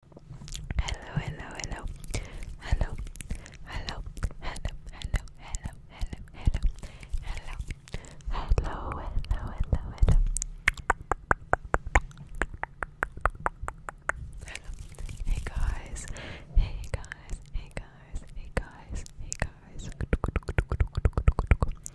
Hello, hello, hello, hello, hello, hello, hello, hello, hello, hello, hello, hello, hello, hello, hello. Hello. Hey guys. Hey guys. Hey guys. Hey guys. Hey guys. Hey guys.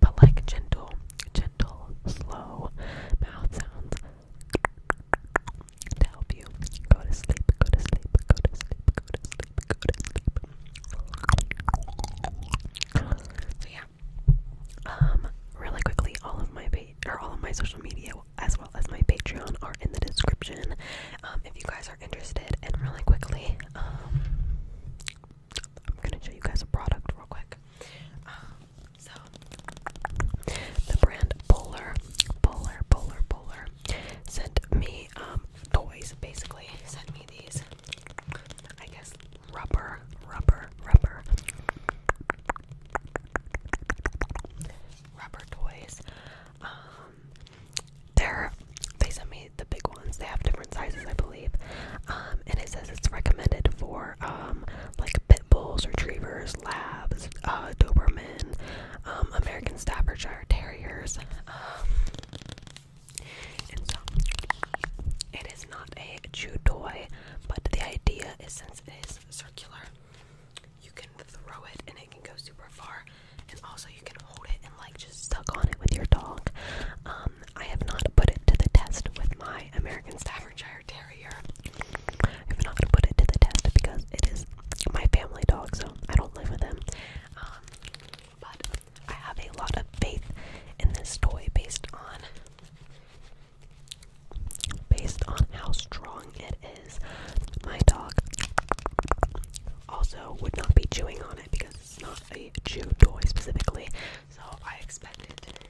but like gentle, gentle, slow mouth sounds to help you go to sleep, go to sleep, go to sleep, go to sleep, go to sleep. So yeah. Um, really quickly, all of my or all of my social media as well as my Patreon are in the description. Um, if you guys are interested, and really quickly, um, I'm gonna show you guys a product real quick. Um, so the brand Polar, Polar, Polar, Polar sent me um toys. Basically, sent me these. I guess rubber, rubber, rubber, rubber toys. Um, they're they sent me the big ones. They have different sizes, I believe. Um, and it says it's recommended for um, like pit bulls, retrievers, labs, uh, Doberman, um, American Staffordshire Terriers. and so it is not a chew toy, but the idea is since it is circular, you can throw it and it can go super far and also you can hold it and like just suck on it with your dog. Um, I have not put it to the test with my American Staffordshire Terrier. i am not gonna put it to the test because it is my family dog, so I don't live with him. Um, but I have a lot of faith in this toy based on based on how strong it is. My dog also would not be chewing on it because it's not a Jew toy specifically, so I expect it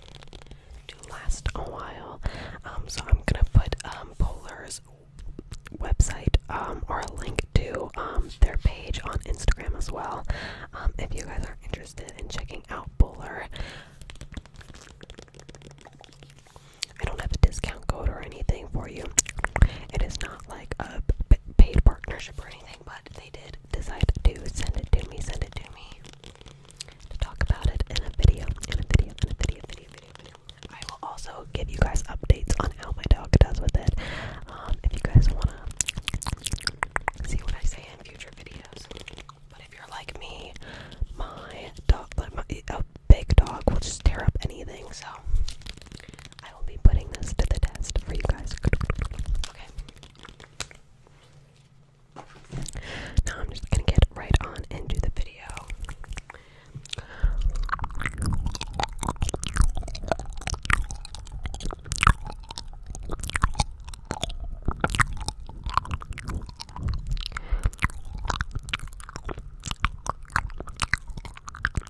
to last a while. Um, so I'm gonna put um, website um, or a link to um, their page on Instagram as well. if you guys are interested in checking out Polar, I don't have a discount code or anything for you. It is not like a paid partnership or anything, but they did decide to send it to me, send it to me to talk about it in a video, in a video, in a video, video, video, video. I will also give you guys updates on how my dog does with it. Um, if you guys wanna see what I say in future videos, but if you're like me, my dog, like my, a big dog will just tear up anything. So I will be putting this to the test for you guys. Okay. Now I'm just gonna get right on into the video.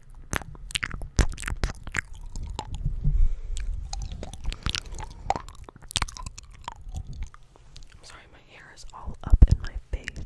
I'm sorry, my hair is all up in my face.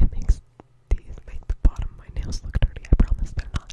It makes these make the bottom my nails look dirty. I promise they're not.